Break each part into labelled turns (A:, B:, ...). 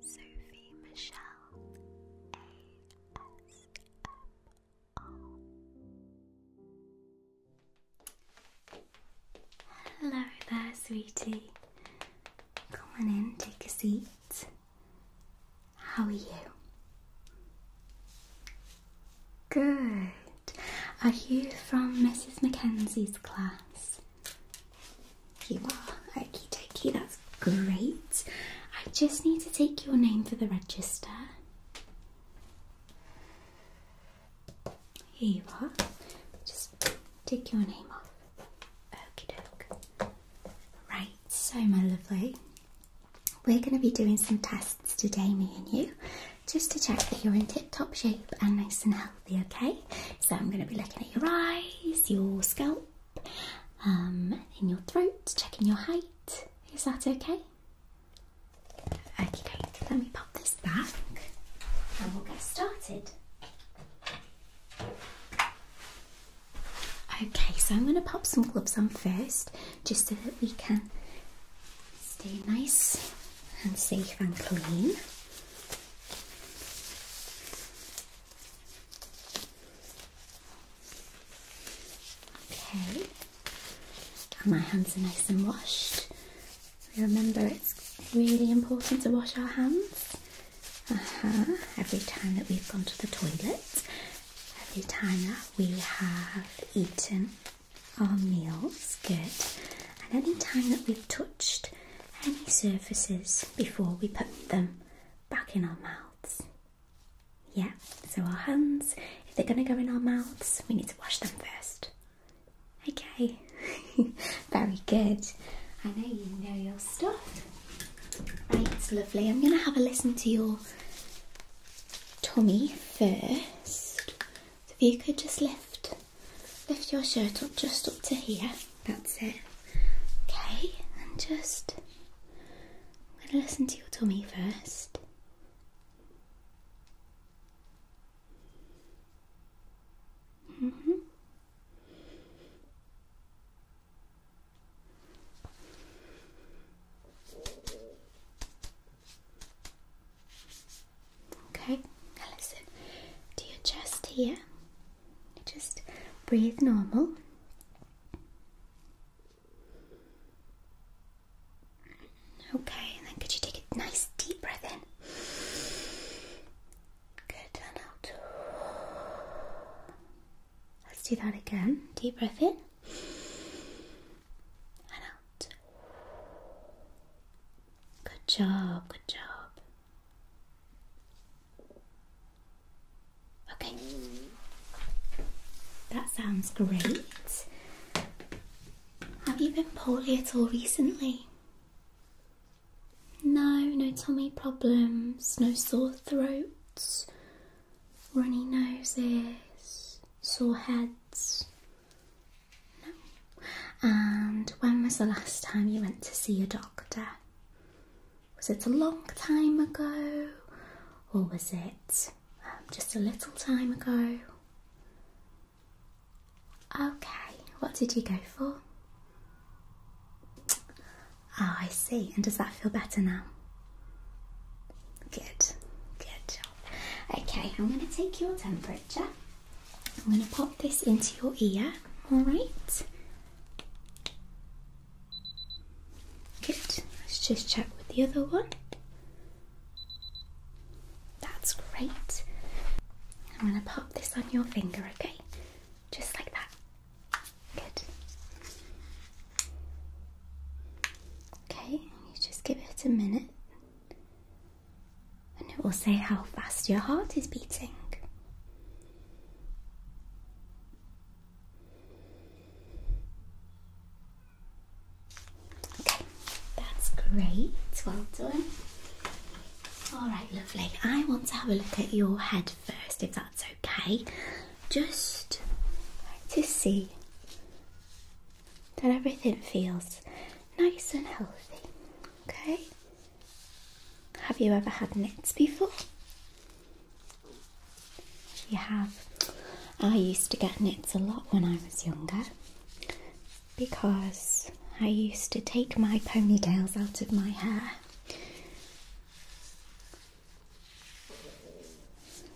A: Sophie Michelle ASMR. Hello there, sweetie. Come on in, take a seat. How are you? Good. Are you from Mrs. Mackenzie's class? You are. Okie that's great. I just need to take your name for the register. Here you are. Just take your name off. Okie doke. Right, so my lovely, we're going to be doing some tests today, me and you, just to check that you're in tip top shape and nice and healthy okay? So I'm going to be looking at your eyes, your scalp, um, in your throat, checking your height. Is that okay? Okay, let me pop this back and we'll get started. Okay, so I'm going to pop some gloves on first just so that we can stay nice and safe and clean. Okay. my hands are nice and washed. Remember, it's really important to wash our hands uh-huh. every time that we've gone to the toilet, every time that we have eaten our meals. Good. And any time that we've touched any surfaces before we put them back in our mouths. Yeah, so our hands, if they're going to go in our mouths, we need to wash them first. Okay, very good. I know you know your stuff. Right, lovely. I'm going to have a listen to your tummy first. So if you could just lift lift your shirt up just up to here. That's it. Okay, and just I'm gonna listen to your tummy first. hmm Okay, now listen to your chest here. Just breathe normal. Okay, and then could you take a nice deep breath in? Good, out. Let's do that again. Deep breath in. And out. Good job, good job. Okay, that sounds great. Have you been poorly at all recently? No, no tummy problems, no sore throats, runny noses, sore heads, no. And when was the last time you went to see a doctor? Was it a long time ago? Or was it um, just a little time ago? Okay, what did you go for? Oh, I see. And does that feel better now? Good, good job. Okay, I'm going to take your temperature. I'm going to pop this into your ear, alright? Good. Let's just check with the other one. That's great. I'm going to pop this on your finger, okay? Just like that. Good. Okay, you just give it a minute and it will say how fast your heart is beating. Okay, that's great. Well done. All right, lovely. I want to have a look at your head first, if that's okay. Just to see that everything feels nice and healthy. Okay? Have you ever had knits before? You have. I used to get knits a lot when I was younger because I used to take my ponytails out of my hair.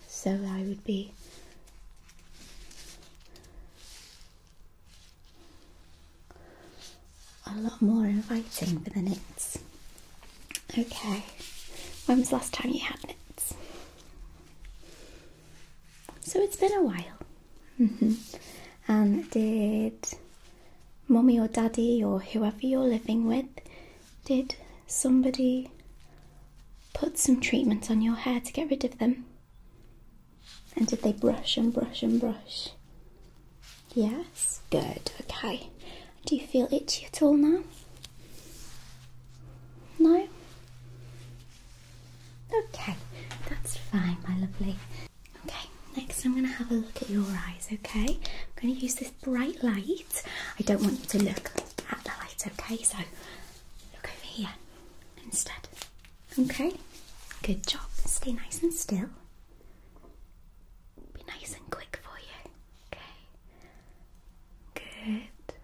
A: So I would be a lot more inviting than it's. Okay, when was the last time you had knits? So it's been a while. Mm-hmm. and did mommy or daddy or whoever you're living with, did somebody put some treatment on your hair to get rid of them? And did they brush and brush and brush? Yes? Good, okay. Do you feel itchy at all now? No? Okay, that's fine, my lovely. Okay, next I'm going to have a look at your eyes, okay? I'm going to use this bright light. I don't want you to look at the light, okay? So look over here instead. Okay, good job. Stay nice and still. Be nice and quick for you. Okay, good.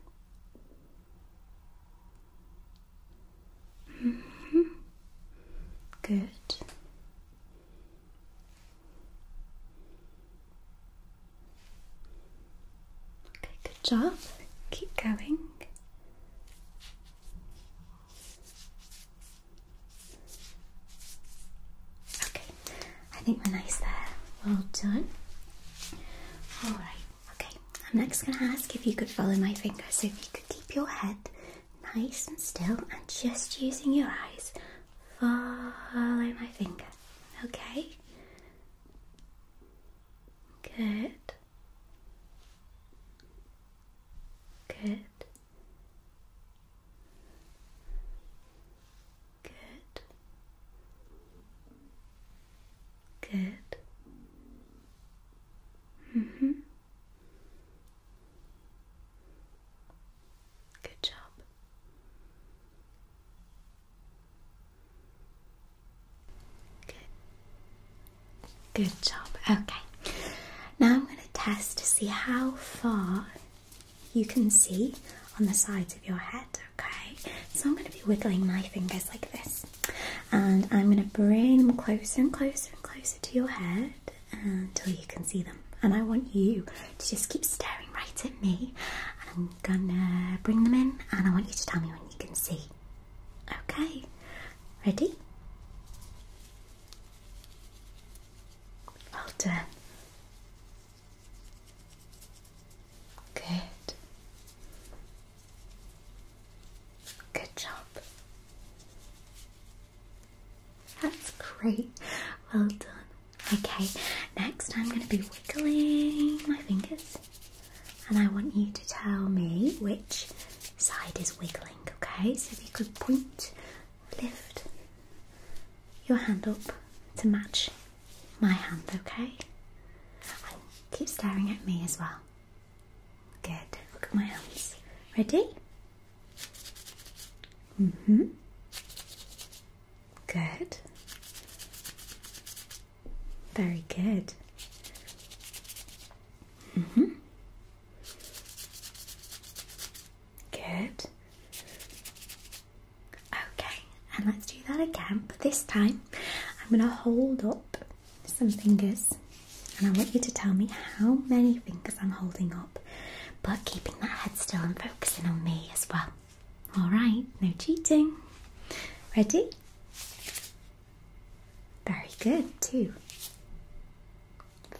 A: -hmm. Good. Okay, good job. Keep going. Okay, I think we're nice there. Well done. Alright, okay. I'm next going to ask if you could follow my finger. So if you could keep your head nice and still and just using your eyes, follow my finger. Okay? Good. Good. Good. Good. Mm-hmm. Good job. Good. job. Okay. Now I'm going to test to see how far you can see on the sides of your head. Okay. So I'm going to be wiggling my fingers like this, and I'm going to bring them closer and closer and closer to your head until you can see them. And I want you to just keep staring right at me. And I'm gonna bring them in, and I want you to tell me when you can see. Okay, Ready? Well done. Good. Good job. That's great. Well done. Okay, next I'm going to be wiggling my fingers and I want you to tell me which side is wiggling, okay? So if you could point, lift your hand up to match my hand, okay? keep staring at me as well. Good. Look at my hands. Ready? Mm-hmm. Good. Very good. Mm-hmm. Good. Okay, and let's do that again, but this time I'm going to hold up some fingers and I want you to tell me how many fingers I'm holding up, but keeping that head still and focusing on me as well. Alright, no cheating. Ready? Very good, two.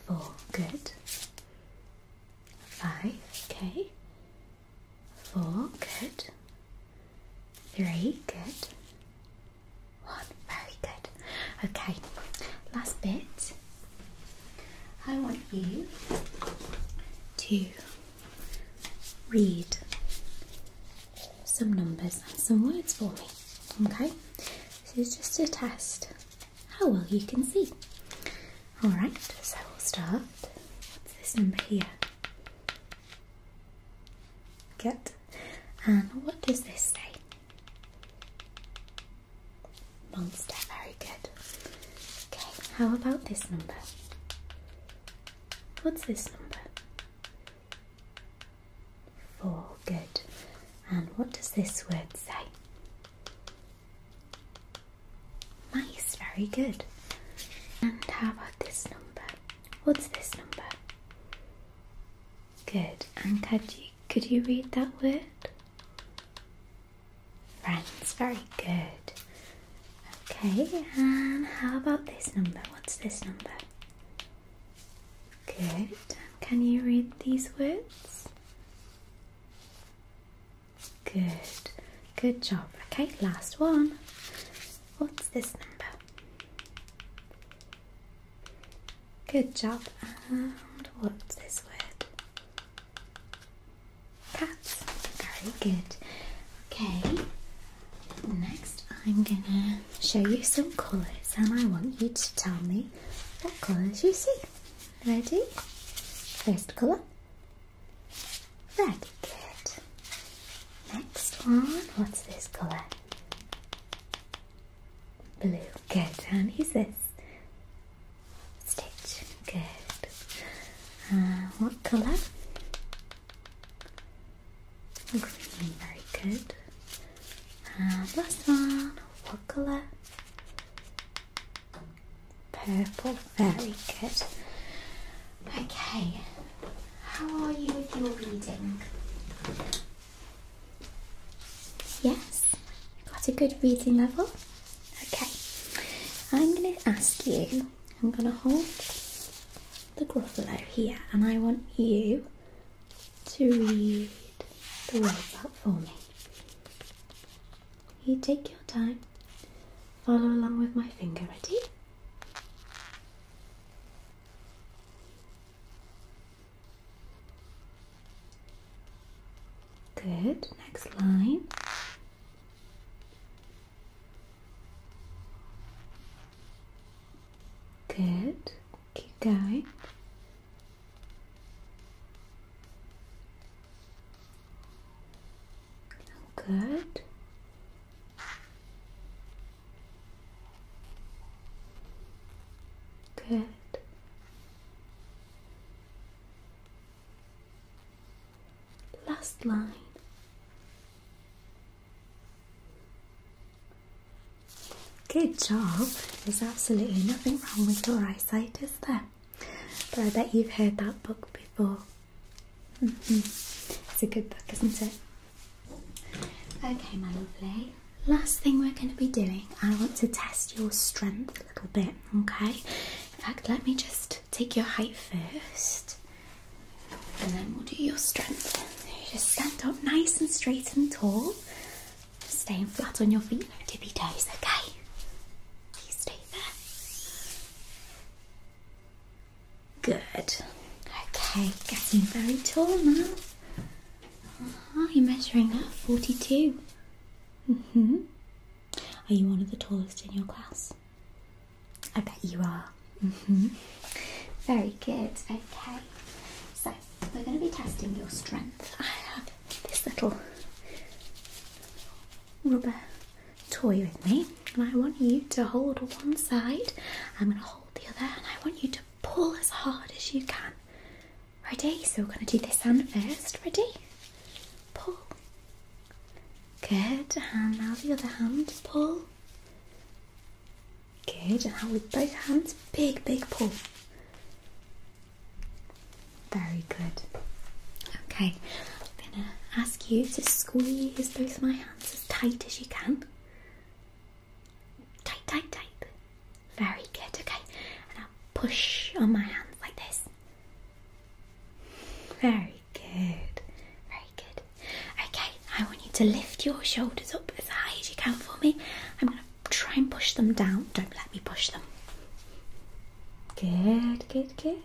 A: Four, good. Five, okay. Four, good. Three, good. One, very good. Okay, last bit. I want you to read some numbers and some words for me. Okay? This is just a test how well you can see. Alright, so we'll start. What's this number here? Good. And what does this say? Monster, very good. Okay, how about this number? What's this number? For good. And what does this word say? Nice, very good. And how about this number? What's this number? Good. And could you could you read that word? Friends, very good. Okay, and how about this number? What's this number? Good. Can you read these words? Good. Good job. Okay, last one. What's this number? Good job. And what's this word? Cats. Very good. Okay, Next, I'm gonna show you some colours, and I want you to tell me what colours you see. Ready? First colour, red. Good. Next one, what's this colour? Blue. Good. And who's this? Stitch. Good. Uh, what colour? Green, very good. And uh, last one, what color? Purple, very good. Okay, how are you with your reading? Yes, got a good reading level. Okay, I'm going to ask you, I'm going to hold the Gruffalo here, and I want you to read the words out for me. You take your time, follow along with my finger, ready? Good, next line. Good. Keep going. Good. Good. Last line. Good job. There's absolutely nothing wrong with your eyesight, is there? But I bet you've heard that book before. Mm-hmm. It's a good book, isn't it? Okay, my lovely. Last thing we're going to be doing, I want to test your strength a little bit, okay? In fact, let me just take your height first. And then we'll do your strength. You just stand up nice and straight and tall. Staying flat on your feet, no tippy toes, okay? You stay there. Good. Okay, getting very tall now. Are uh-huh, you measuring at 42? hmm Are you one of the tallest in your class? I bet you are. Mm-hmm. Very good. Okay, so we're going to be testing your strength. I have this little rubber toy with me, and I want you to hold one side. I'm going to hold the other, and I want you to pull as hard as you can. Ready? So we're going to do this hand first. Ready? Pull. Good. And now the other hand. Pull. Good, and now with both hands, big, big pull. Very good. Okay, I'm gonna ask you to squeeze both my hands as tight as you can. Tight, tight, tight. Very good, okay. And I'll push on my hands like this. Very good. Very Okay, I want you to lift your shoulders up as high as you can for me. I'm going to try and push them down. Don't let me push them. Good, good, good.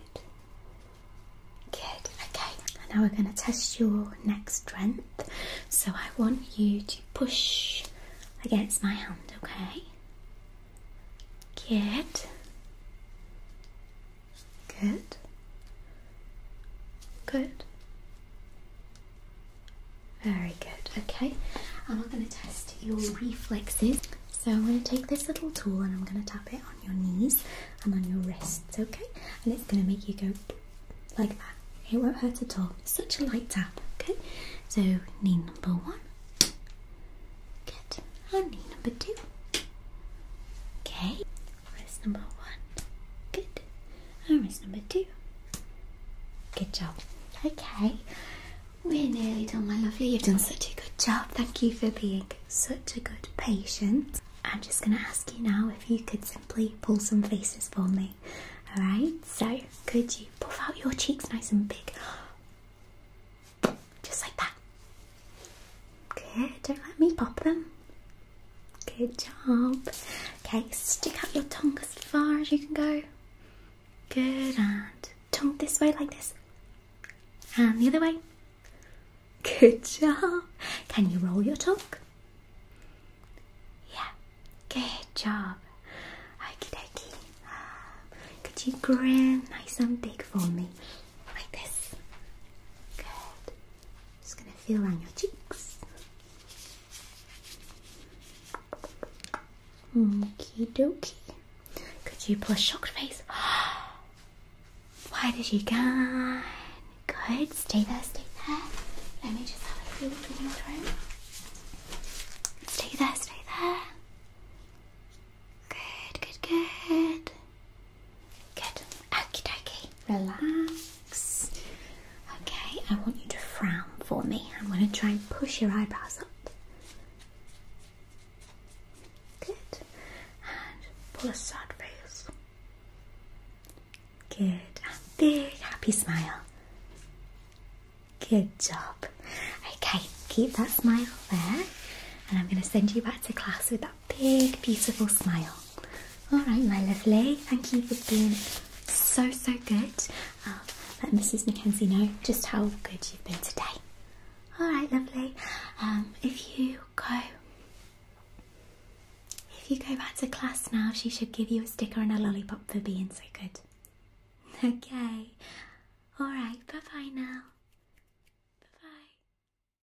A: Good, okay. now we're going to test your next strength. So I want you to push against my hand, okay? Good. Good. Good. Very good. Okay. I'm going to test your reflexes. So I'm going to take this little tool and I'm going to tap it on your knees and on your wrists, okay? And it's going to make you go like that. It won't hurt at all. Such a light tap, okay? So knee number one. Good. And knee number two. Okay. Wrist number one. Good. And number two. Good job. Okay. We're nearly done, my lovely. You've done such a good job. Thank you for being such a good patient. I'm just going to ask you now if you could simply pull some faces for me. Alright, so could you puff out your cheeks nice and big? Just like that. Good, don't let me pop them. Good job. Okay, stick out your tongue as far as you can go. Good, and tongue this way like this. And the other way. Good job. Can you roll your tongue? Yeah, good job. Okie dokie. Could you grin nice and big for me? Like this. Good. Just gonna feel on your cheeks. Okie dokie. Could you pull a shocked face? Why did you go? Good. Stay there, stay there. Let me just have a feel Stay there, stay there. Good, good, good. Good. Okie dokie. Relax. Okay, I want you to frown for me. I'm going to try and push your eyebrows up. Good. And pull a sad face. Good. And big happy smile. Good job. Okay, keep that smile there. And I'm going to send you back to class with that big, beautiful smile. All right, my lovely. Thank you for being so, so good. Uh, let Mrs. Mackenzie know just how good you've been today. All right, lovely. Um, if you go, if you go back to class now, she should give you a sticker and a lollipop for being so good. Okay. All right. Bye bye now. Bye bye.